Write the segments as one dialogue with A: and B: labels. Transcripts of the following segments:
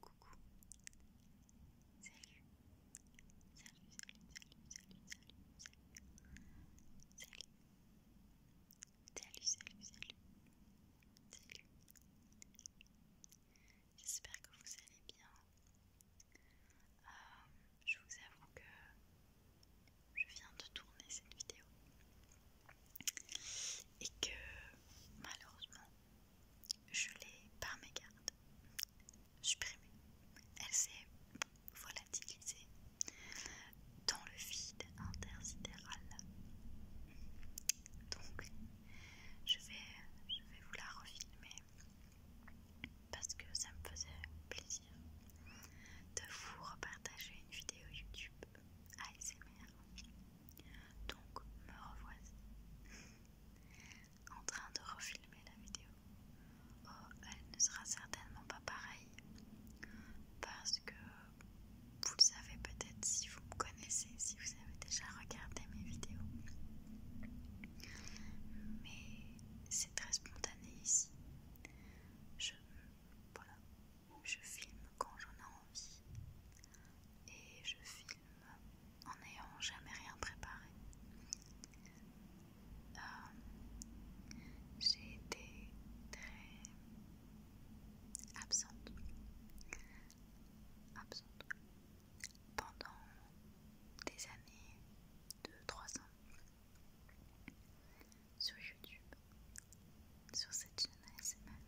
A: Coucou. Salut. Salut, salut, salut, salut, salut, salut. Salut. Salut, salut, J'espère que vous allez bien. Euh, je vous avoue que je viens de tourner cette vidéo et que malheureusement je l'ai par gardes, supprimée. Elle s'est volatilisée dans le vide intersidéral. Donc, je vais, je vais vous la refilmer parce que ça me faisait plaisir de vous repartager une vidéo YouTube ASMR. Donc me revois en train de refilmer la vidéo. Oh, elle ne sera certainement pas pareille parce que vous le savez peut-être si vous me connaissez, si vous avez déjà regardé mes vidéos. Mais c'est très spontané ici. Je voilà, je filme quand j'en ai envie et je filme en n'ayant jamais rien préparé. Euh, j'ai été très absente. Absente pendant des années, deux, trois ans sur YouTube sur cette chaîne ASMR.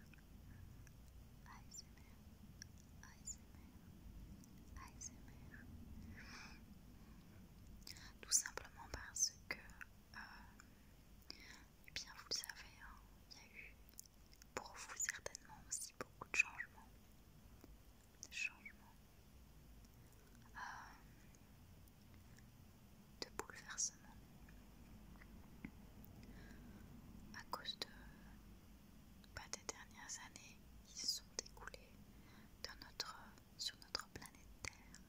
A: ASMR, ASMR, ASMR. Tout simplement parce que, euh, eh bien, vous le savez, hein, il y a eu pour vous certainement aussi beaucoup de changements. changements. Euh, de bouleversement à cause de pas bah, des dernières années qui sont écoulées dans notre, sur notre planète Terre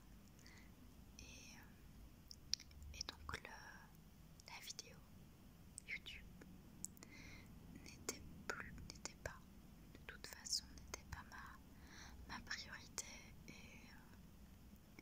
A: euh, et, donc le, la vidéo YouTube n'était plus, n'était pas, de toute façon n'était pas ma, priorité et, euh,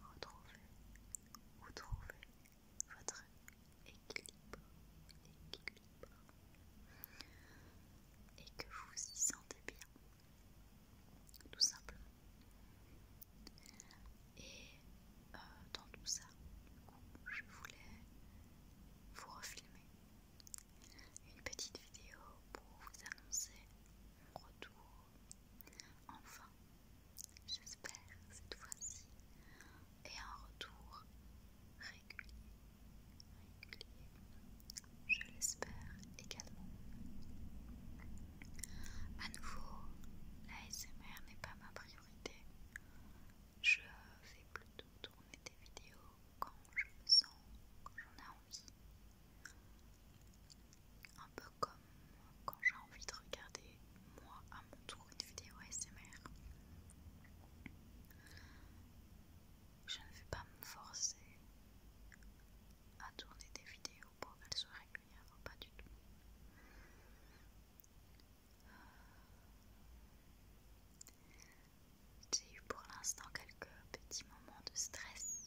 A: retrouver ou trouver votre équilibre, et que vous vous y sentez bien, tout simplement. Et euh, dans tout ça, je voulais vous refilmer une petite vidéo pour vous annoncer mon retour. Enfin, j'espère cette fois-ci, et un retour régulier. Régulier, je l'espère également. À nouveau, la SMR n'est pas ma priorité. Je fais plutôt tourner des vidéos quand je me sens, quand j'en ai envie, un peu comme quand j'ai envie de regarder moi à mon tour une vidéo ASMR. Je ne vais pas me forcer à tourner des vidéos pour qu'elles soient régulières, pas du tout. J'ai eu pour l'instant quelques petits moments de stress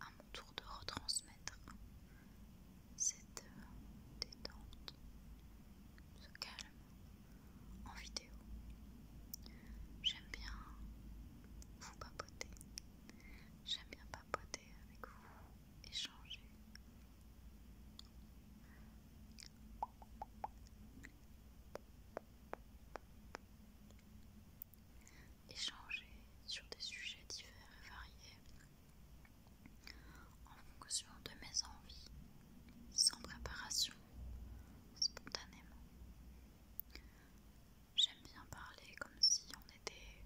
A: à mon tour de retransmettre cette euh, détente, ce calme en vidéo. J'aime bien vous papoter, j'aime bien papoter avec vous, échanger échanger sur des sujets divers et variés en fonction de mes envies, sans préparation, spontanément. J'aime bien parler comme si on était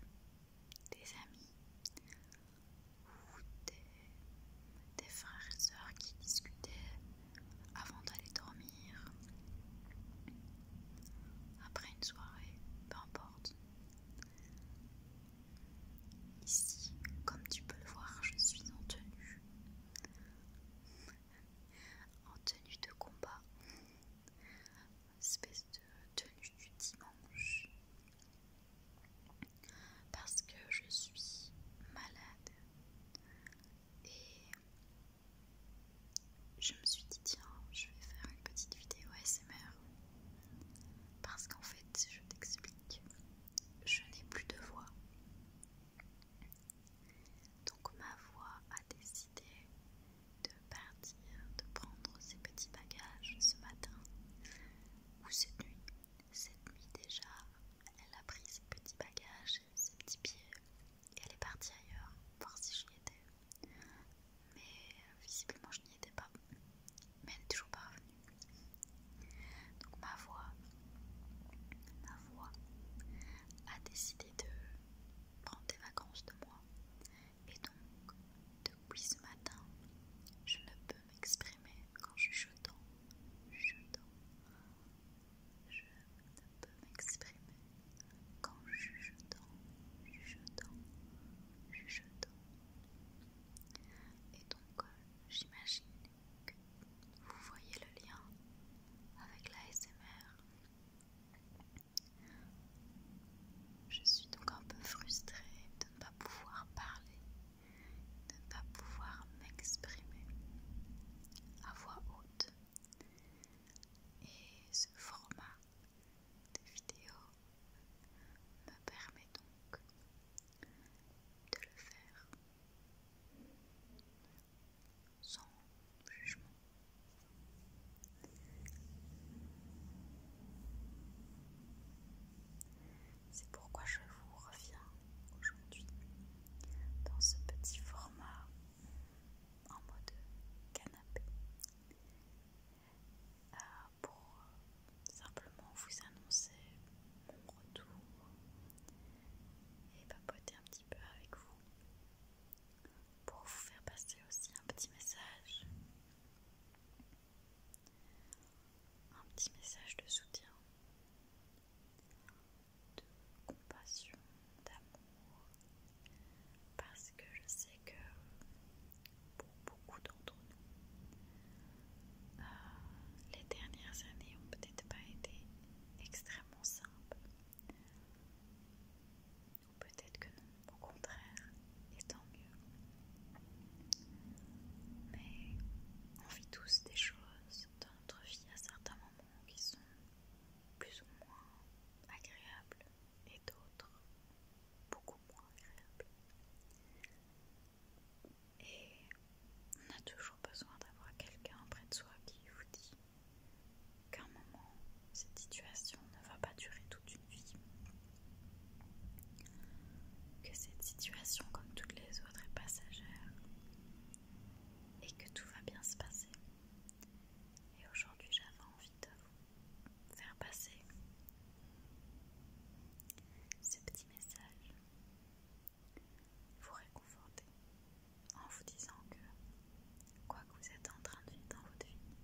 A: des amis ou des, frères et sœurs qui discutaient avant d'aller dormir. Après une soirée, peu importe. Ici, comme tu peux le voir, je suis en tenue. en tenue de combat. espèce de tenue du dimanche. Parce que je suis malade. Et je me suis dit tiens, je vais faire une petite vidéo ASMR parce qu'en fait, je t'explique, je n'ai plus de voix. Donc ma voix a décidé de partir, de prendre ses petits bagages ce matin ou cette nuit. Cette nuit déjà, elle a pris ses petits bagages ses petits pieds et elle est partie ailleurs voir si j'y étais. Mais euh, visiblement je n'y étais pas. Mais elle n'est toujours pas revenue. Donc ma voix, ma voix a décidé de prendre des vacances de moi. Et donc depuis ce matin, je ne peux m'exprimer quand je je chuchotant je ne peux m'exprimer qu'en jugetant, je jugetant. Et donc, j'imagine que vous voyez le lien avec la SMR. Je suis donc un peu frustrée de ne pas pouvoir parler, de ne pas pouvoir m'exprimer à voix haute et ce format de vidéo me permet donc de le faire sans jugement. C'est pourquoi je vous reviens aujourd'hui dans ce petit format en mode canapé euh, pour simplement vous annoncer mon retour et papoter un petit peu avec vous pour vous faire passer aussi un petit message un petit message de soutien de compassion, d'amour, parce que je sais que pour beaucoup d'entre nous, euh, les dernières années ont peut-être pas été extrêmement simples, ou peut-être que non, au contraire, et tant mieux. Mais on vit tous des choses dans notre vie à certains moments qui sont plus ou moins agréables et d'autres beaucoup moins agréables. Et on a toujours besoin d'avoir quelqu'un près de soi qui vous dit qu'un moment, cette situation ne va pas durer toute une vie. Que cette situation, comme toutes les autres, est passagère et que tout va bien se passer. Et aujourd'hui, j'avais envie de vous faire passer ce petit message, vous réconforter en vous disant que quoi que vous êtes en train de vivre dans votre vie,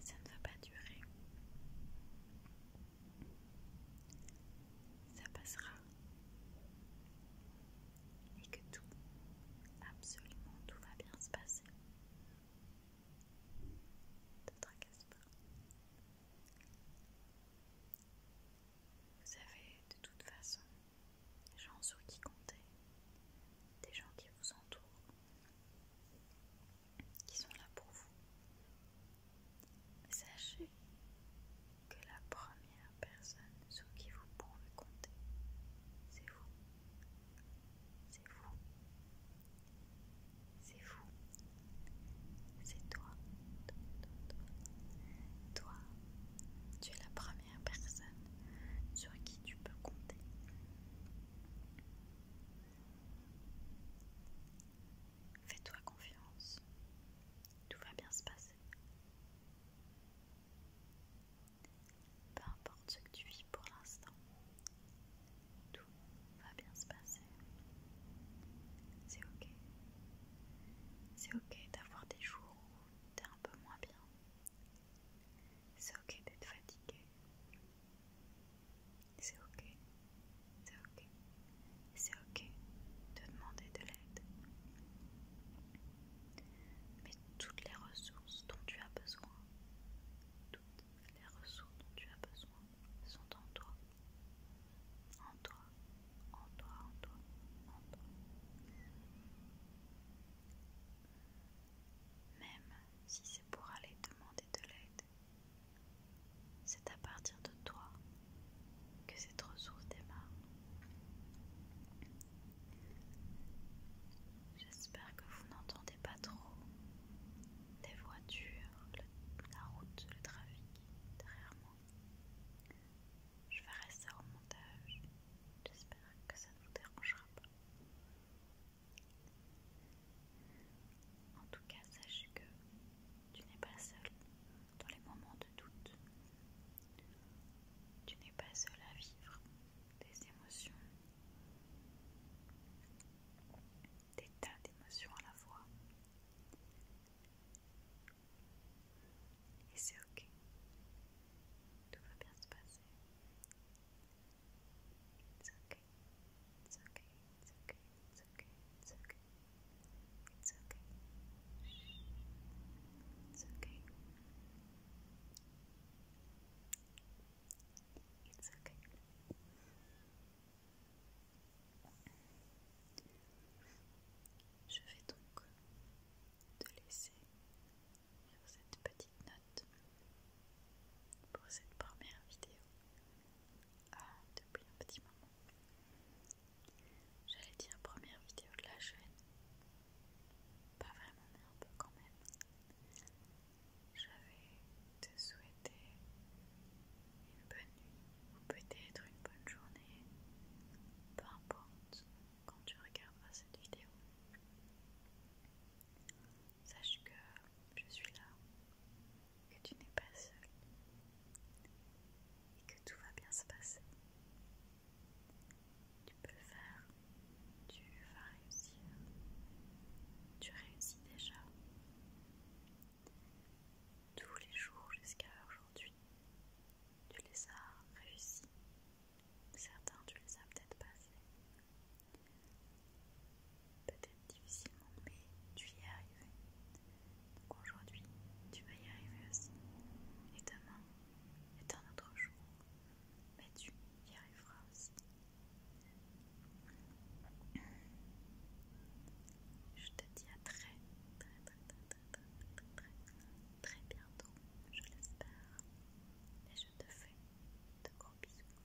A: ça ne va pas durer ça passera et que tout, absolument tout va bien se passer. Ne te pas. Vous avez de toute façon des gens sur qui compter, des gens qui vous entourent, qui sont là pour vous, Sachez que la première personne sur qui vous pouvez compter, c'est vous. C'est vous. C'est vous. C'est toi. Toi, toi. toi, tu es la première personne sur qui tu peux compter. Fais-toi confiance. Tout va bien se passer. Peu importe ce que tu vis pour l'instant, tout va bien se passer. C'est ok. C'est ok d'avoir des jours où t'es un peu moins bien. C'est ok d'être fatigué. C'est ok. C'est ok. C'est ok de demander de l'aide. Mais toutes les ressources dont tu as besoin, toutes les ressources dont tu as besoin sont en toi. En toi, en toi, en toi, en toi. Même si c'est pour aller demander de l'aide, c'est à partir de toi que cette ressource démarre. J'espère que vous n'entendez pas trop des voitures, la route, le trafic derrière moi. Je ferai ça au montage. J'espère que ça ne vous dérangera pas. En tout cas, sachez que tu n'es pas seul dans les moments de doute. Tu n'es pas seul à vivre des émotions, des tas d'émotions à la fois. Et c'est ok. Tout va bien se passer. It's ok, It's ok, It's ok ok Je vais donc te laisser cette petite note pour cette première vidéo ah, depuis un petit moment. J'allais dire première vidéo de la chaîne, pas vraiment mais un peu quand même. Je vais te souhaiter une bonne nuit ou peut-être une bonne journée, peu importe quand tu regarderas cette vidéo. Sache que je suis là que tu n'es pas seul et que tout va bien se passer. Tu peux faire, tu vas réussir, tu réussis déjà. Tous les jours jusqu'à aujourd'hui, tu les as réussis. Certains, tu les as peut-être passés peut-être difficilement, mais tu y es arrivé. Donc aujourd'hui, tu vas y arriver aussi. Et demain, Et un autre jour, mais tu y arriveras aussi. Je te dis à très, très, très, très, très, très, très, très, bientôt, je l'espère. Et je te fais de gros bisous.